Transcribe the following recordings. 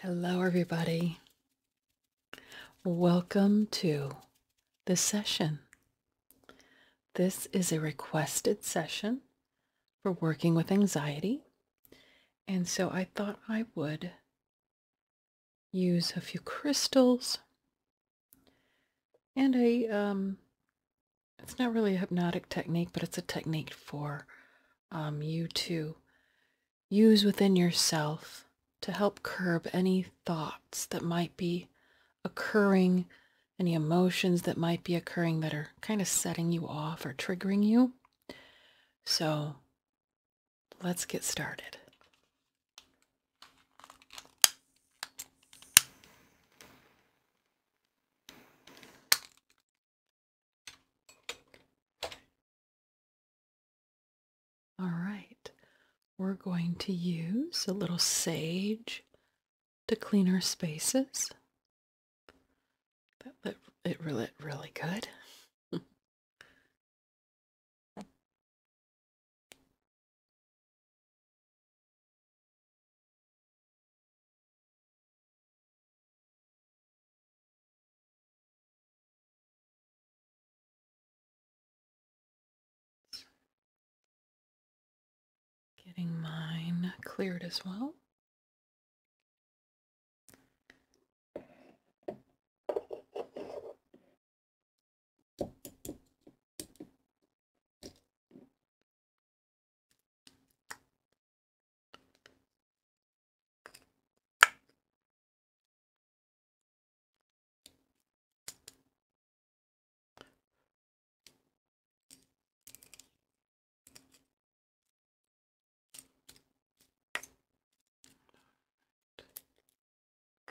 Hello, everybody. Welcome to the session. This is a requested session for working with anxiety. And so I thought I would use a few crystals and a, um, it's not really a hypnotic technique, but it's a technique for um, you too use within yourself to help curb any thoughts that might be occurring, any emotions that might be occurring that are kind of setting you off or triggering you. So let's get started. All right, we're going to use a little sage to clean our spaces. That lit, it really, really good. Getting mine cleared as well.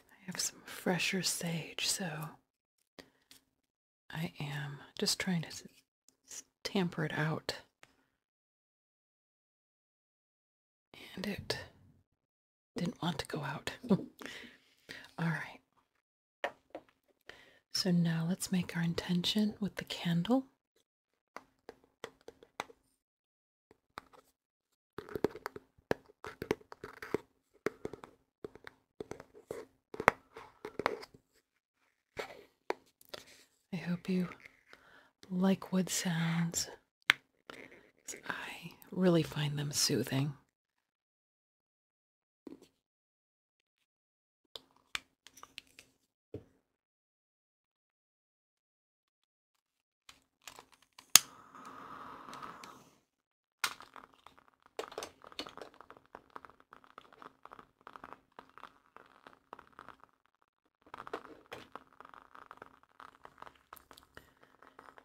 I have some fresher sage, so I am just trying to tamper it out and it didn't want to go out. All right. So now let's make our intention with the candle. I hope you like wood sounds. I really find them soothing.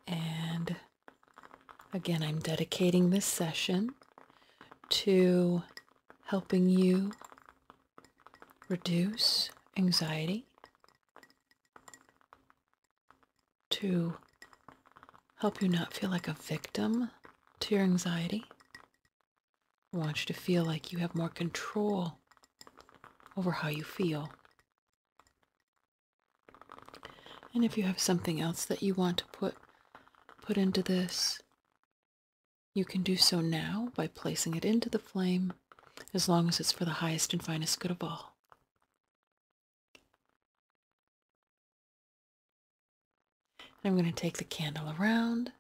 And again, I'm dedicating this session to helping you reduce anxiety, to help you not feel like a victim to your anxiety, I want you to feel like you have more control over how you feel. And if you have something else that you want to put put into this, you can do so now by placing it into the flame as long as it's for the highest and finest good of all. I'm going to take the candle around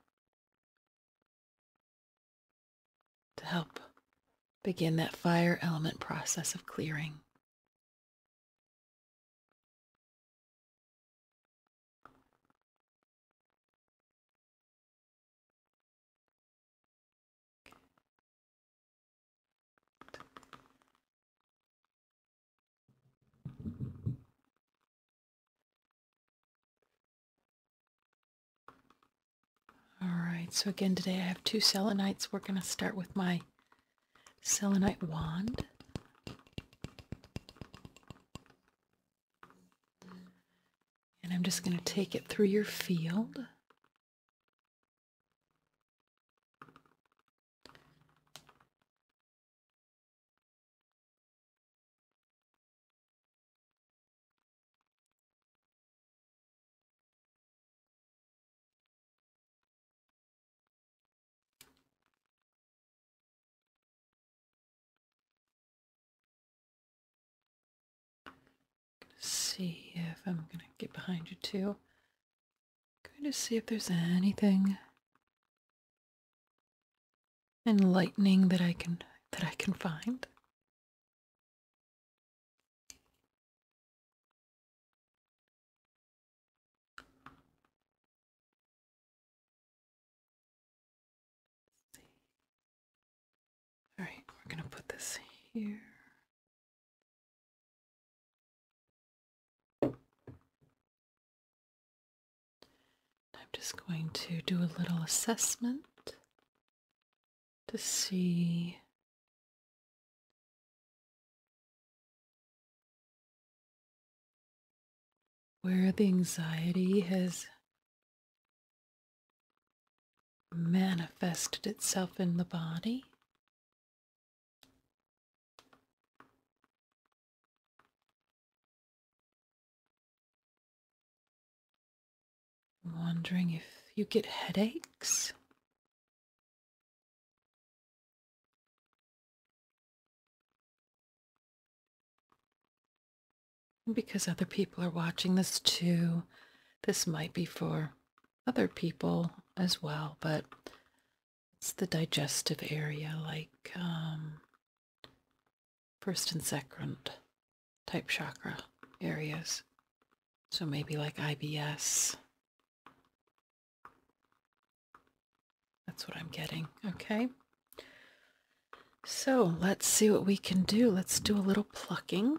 to help begin that fire element process of clearing. Alright, so again today I have two selenites. We're going to start with my selenite wand. And I'm just going to take it through your field see if I'm gonna get behind you too. Going to see if there's anything enlightening that I can that I can find. All right, we're going to put this here. I'm just going to do a little assessment to see where the anxiety has manifested itself in the body. I'm wondering if you get headaches. Because other people are watching this too, this might be for other people as well, but it's the digestive area, like um, first and second type chakra areas. So maybe like IBS. That's what I'm getting. Okay. So let's see what we can do. Let's do a little plucking.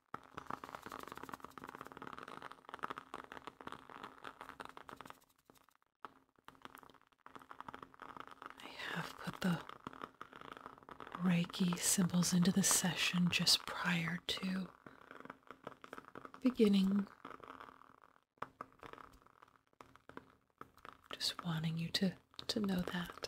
I have put the Reiki symbols into the session just prior to beginning. Just wanting you to, to know that.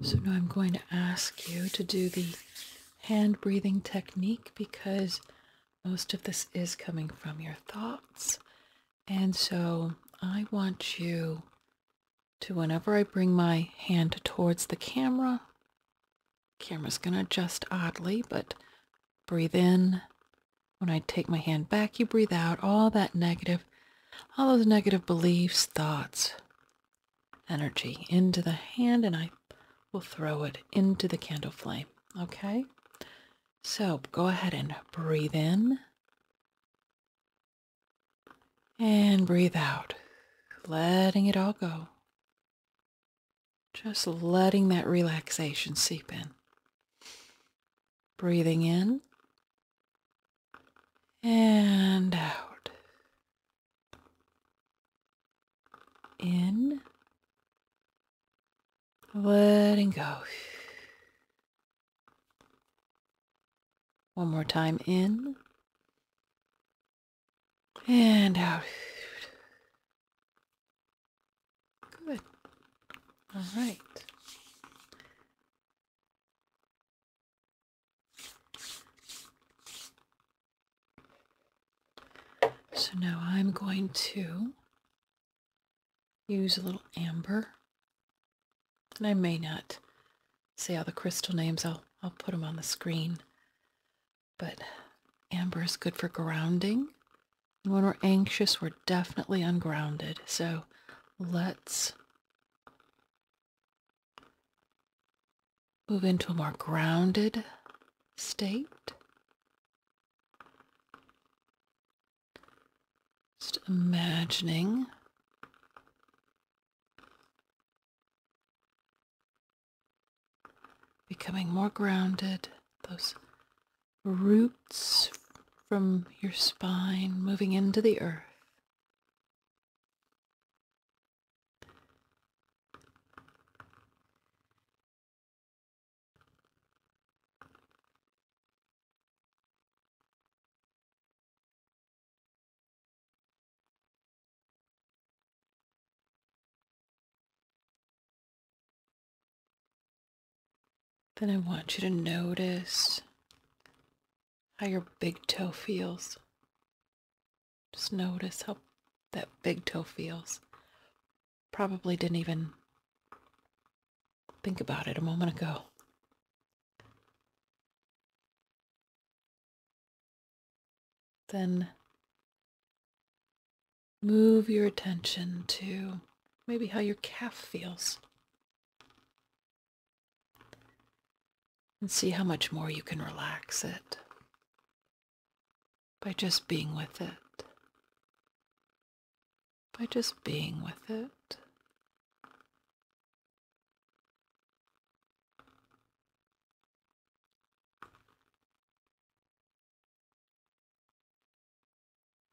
So now I'm going to ask you to do the hand breathing technique because most of this is coming from your thoughts. And so I want you to, whenever I bring my hand towards the camera, camera's going to adjust oddly, but breathe in when I take my hand back, you breathe out all that negative, all those negative beliefs, thoughts, energy into the hand, and I will throw it into the candle flame. Okay? So go ahead and breathe in and breathe out, letting it all go. Just letting that relaxation seep in. Breathing in and out. In. Letting go. One more time in and out. Good. All right. So now I'm going to use a little amber. And I may not say all the crystal names. I'll, I'll put them on the screen. But amber is good for grounding when we're anxious, we're definitely ungrounded. So let's move into a more grounded state. Just imagining becoming more grounded, those roots from your spine moving into the earth. Then I want you to notice how your big toe feels. Just notice how that big toe feels. Probably didn't even think about it a moment ago. Then Move your attention to maybe how your calf feels. And see how much more you can relax it by just being with it. By just being with it.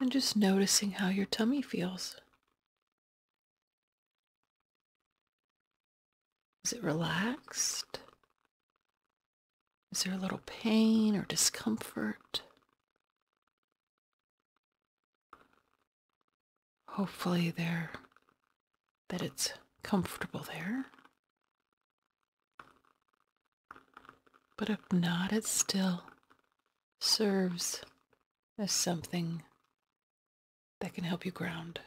And just noticing how your tummy feels. Is it relaxed? Is there a little pain or discomfort? Hopefully there that it's comfortable there. But if not, it still serves as something that can help you ground.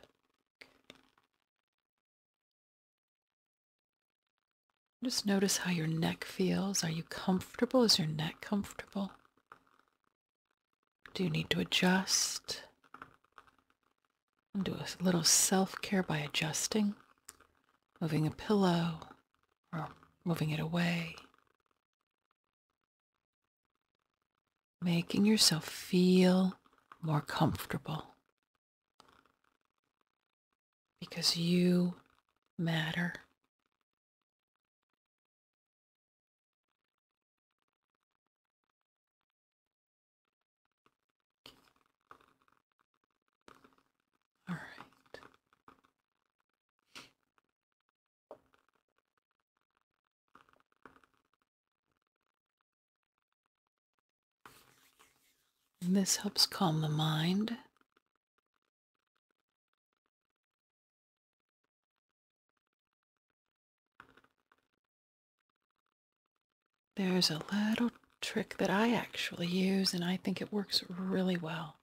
Just notice how your neck feels. Are you comfortable? Is your neck comfortable? Do you need to adjust? do a little self care by adjusting, moving a pillow, or moving it away. Making yourself feel more comfortable because you matter. All right. And this helps calm the mind. There's a little trick that I actually use, and I think it works really well.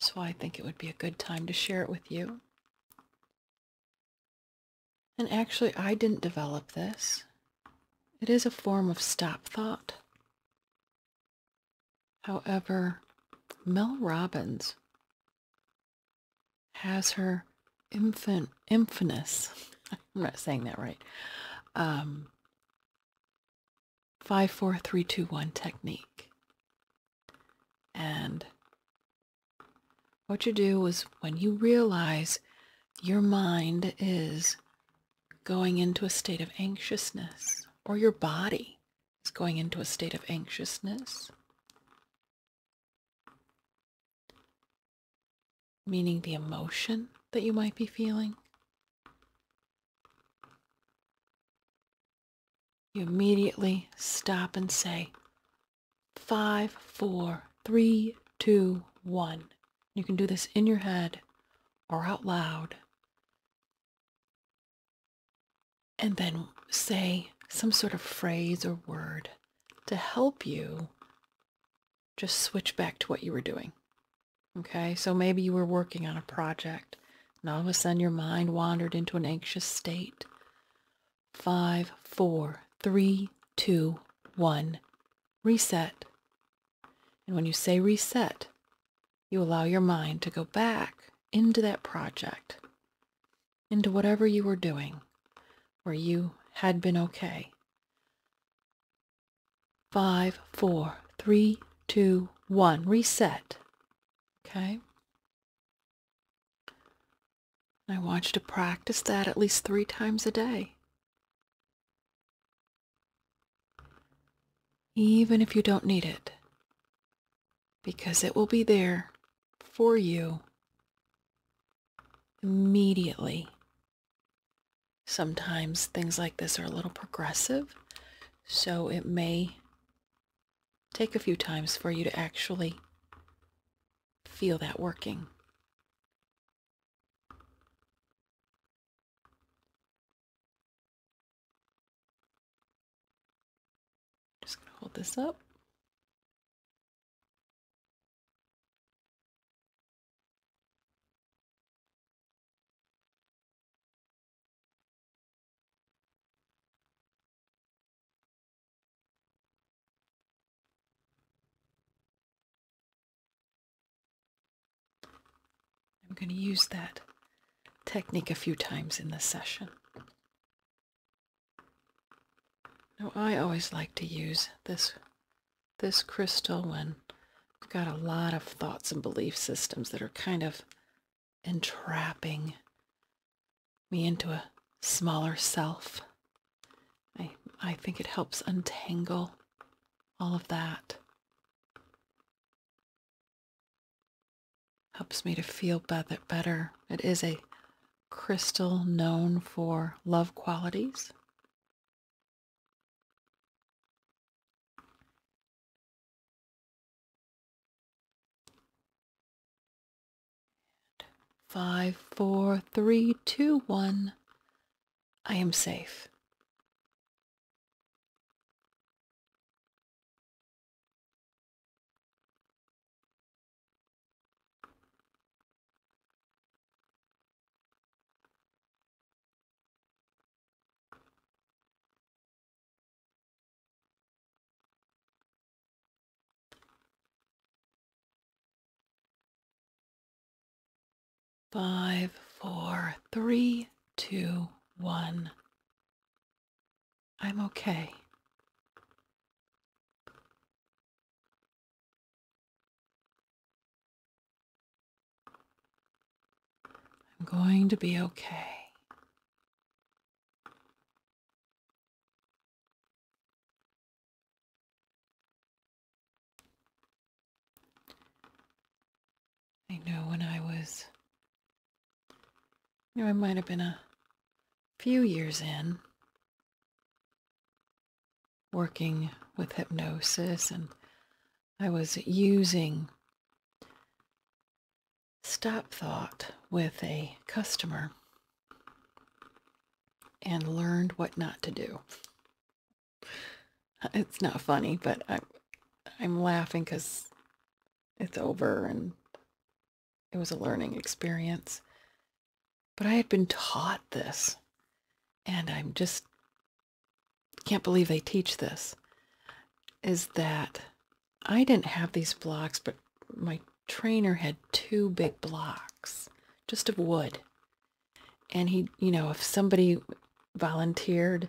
So I think it would be a good time to share it with you. And actually, I didn't develop this. It is a form of stop thought. However, Mel Robbins has her infant, infamous, I'm not saying that right, um, five, four, three, two, one technique. And what you do is when you realize your mind is going into a state of anxiousness, or your body is going into a state of anxiousness, meaning the emotion that you might be feeling you immediately stop and say, five, four, three, two, one. You can do this in your head or out loud. And then say some sort of phrase or word to help you just switch back to what you were doing. Okay, so maybe you were working on a project and all of a sudden your mind wandered into an anxious state. Five, four, three, two, one. Reset. And when you say reset, you allow your mind to go back into that project, into whatever you were doing, where you had been okay five, four, three, two, one. Reset. Okay. I want you to practice that at least three times a day. Even if you don't need it, because it will be there for you immediately sometimes things like this are a little progressive, so it may take a few times for you to actually feel that working. Just going to hold this up. I'm going to use that technique a few times in the session. Now, I always like to use this this crystal when we've got a lot of thoughts and belief systems that are kind of entrapping me into a smaller self. I, I think it helps untangle all of that. Helps me to feel better. It is a crystal known for love qualities five, four, three, two, one. I am safe. Five, four, three, two, one. I'm okay. I'm going to be okay. I know when I was, you know, I might have been a few years in working with hypnosis and I was using stop thought with a customer and learned what not to do. It's not funny, but I, I'm laughing because it's over and it was a learning experience. But I had been taught this and I'm just can't believe they teach this is that I didn't have these blocks, but my trainer had two big blocks just of wood. And he, you know, if somebody volunteered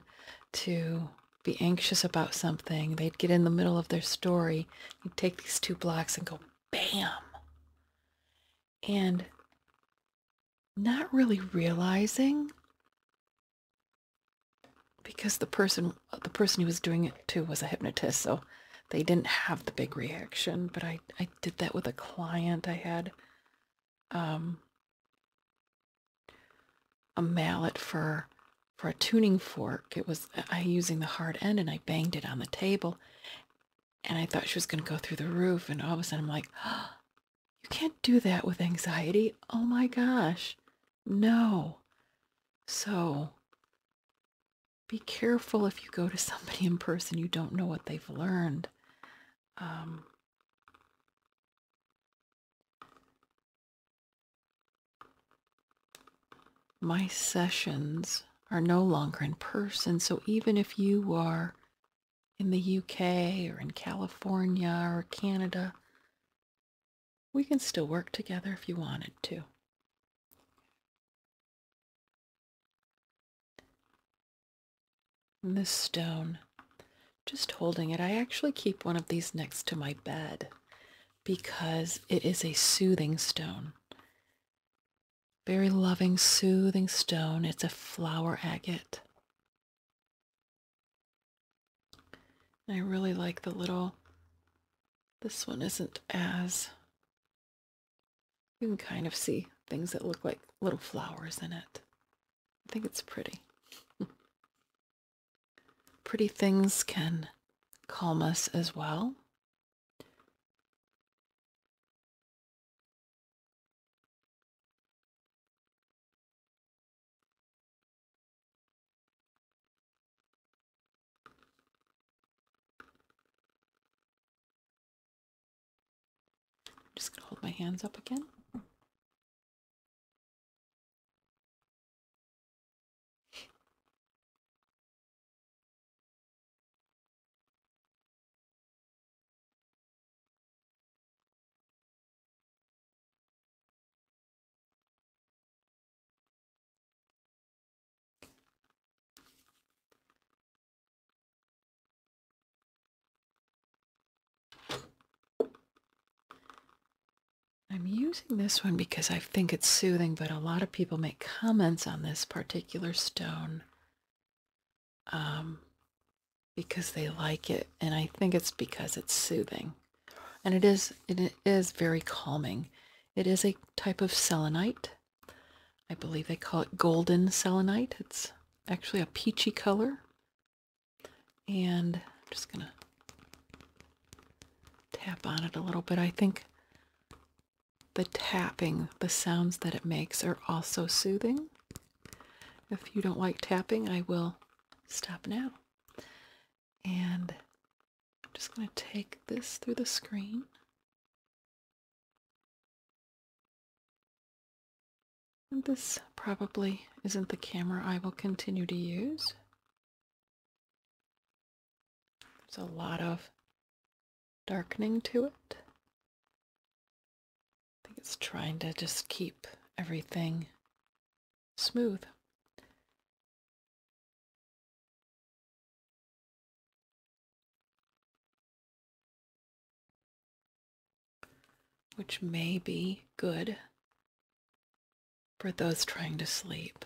to be anxious about something, they'd get in the middle of their story, he'd take these two blocks and go bam and not really realizing because the person the person who was doing it to was a hypnotist so they didn't have the big reaction but i i did that with a client i had um a mallet for for a tuning fork it was i using the hard end and i banged it on the table and i thought she was going to go through the roof and all of a sudden i'm like you can't do that with anxiety. Oh my gosh. No. So be careful if you go to somebody in person you don't know what they've learned. Um, my sessions are no longer in person, so even if you are in the UK or in California or Canada, we can still work together if you wanted to. this stone, just holding it, I actually keep one of these next to my bed because it is a soothing stone. Very loving, soothing stone. It's a flower agate. I really like the little, this one isn't as, you can kind of see things that look like little flowers in it. I think it's pretty. pretty things can calm us as well. I'm just going to hold my hands up again. I'm using this one because I think it's soothing, but a lot of people make comments on this particular stone um, because they like it, and I think it's because it's soothing, and it is it is very calming. It is a type of selenite. I believe they call it golden selenite. It's actually a peachy color, and I'm just gonna tap on it a little bit. I think the tapping, the sounds that it makes, are also soothing. If you don't like tapping, I will stop now. And I'm just going to take this through the screen. this probably isn't the camera I will continue to use. There's a lot of darkening to it. I think it's trying to just keep everything smooth. Which may be good for those trying to sleep.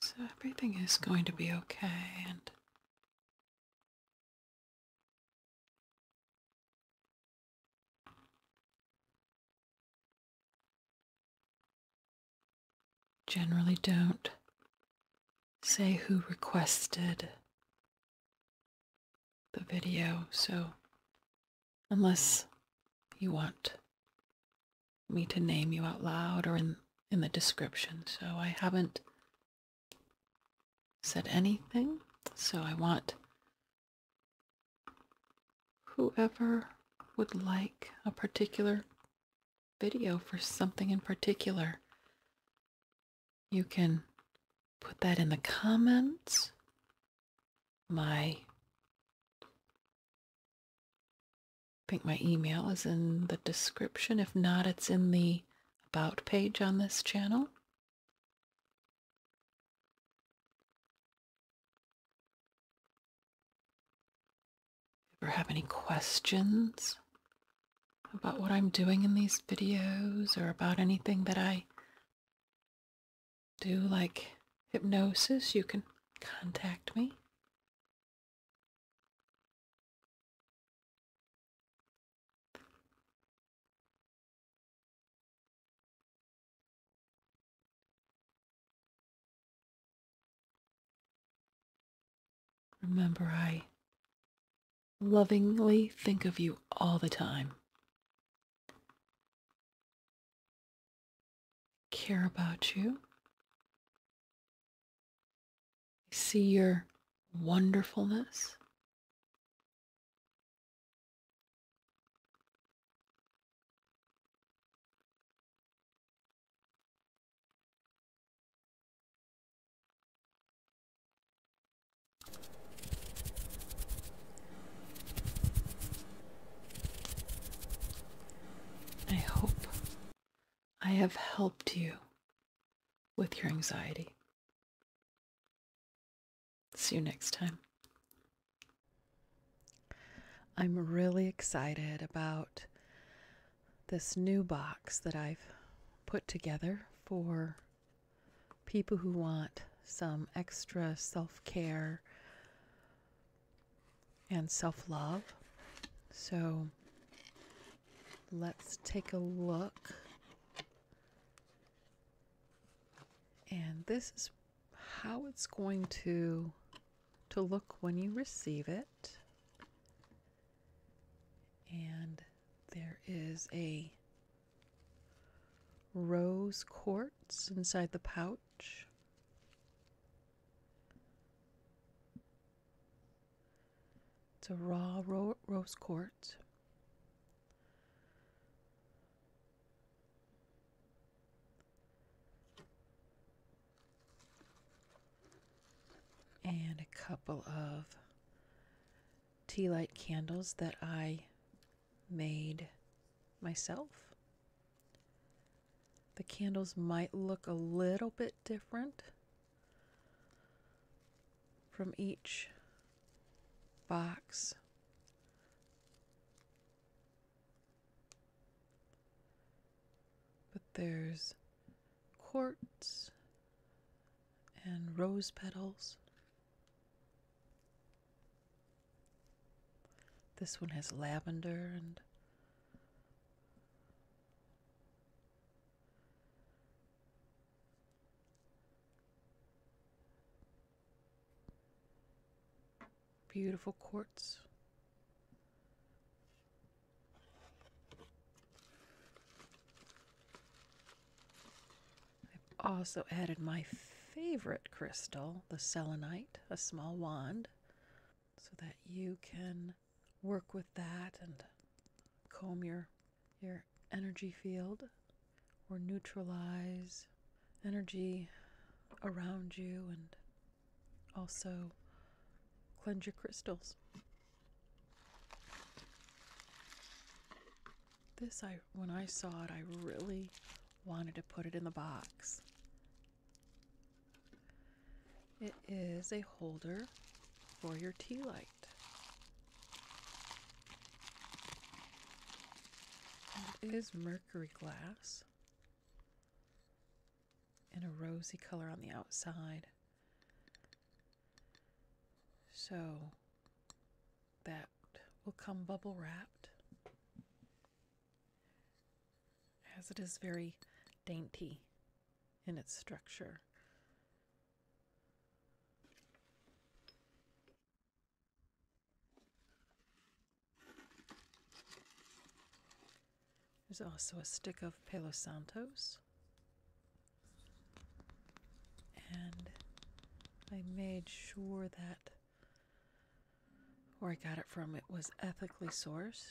So everything is going to be okay and generally don't say who requested the video, so unless you want me to name you out loud or in, the description, so I haven't said anything, so I want whoever would like a particular video for something in particular, you can put that in the comments. My I think my email is in the description. If not, it's in the About page on this channel ever have any questions about what I'm doing in these videos or about anything that I do, like hypnosis, you can contact me. Remember, I lovingly think of you all the time. care about you. I see your wonderfulness. I hope I have helped you with your anxiety. See you next time. I'm really excited about this new box that I've put together for people who want some extra self care and self love. So let's take a look. And this is how it's going to to look when you receive it. And there is a rose quartz inside the pouch. It's a raw rose quartz and a couple of tea light candles that I made myself. The candles might look a little bit different from each box. But there's quartz and rose petals. This one has lavender and beautiful quartz. I've also added my favorite crystal, the selenite, a small wand, so that you can work with that and comb your your energy field or neutralize energy around you and also cleanse your crystals. This I when I saw it I really wanted to put it in the box. It is a holder for your tea light. it is mercury glass and a rosy color on the outside. So that will come bubble wrapped as it is very dainty in its structure. There's also a stick of Palo Santos. And I made sure that where I got it from it was ethically sourced.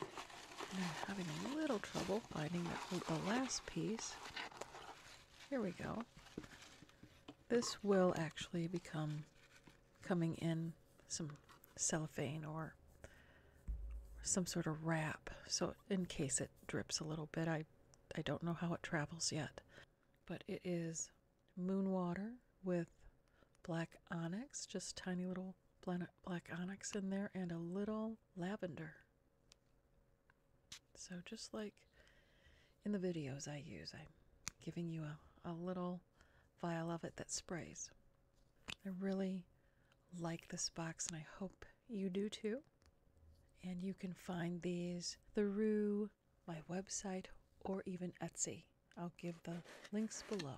I'm having a little trouble finding the last piece. Here we go. This will actually become coming in some cellophane or some sort of wrap so in case it drips a little bit I I don't know how it travels yet but it is moon water with black onyx just tiny little black onyx in there and a little lavender so, just like in the videos I use, I'm giving you a, a little vial of it that sprays. I really like this box and I hope you do too. And you can find these through my website or even Etsy. I'll give the links below.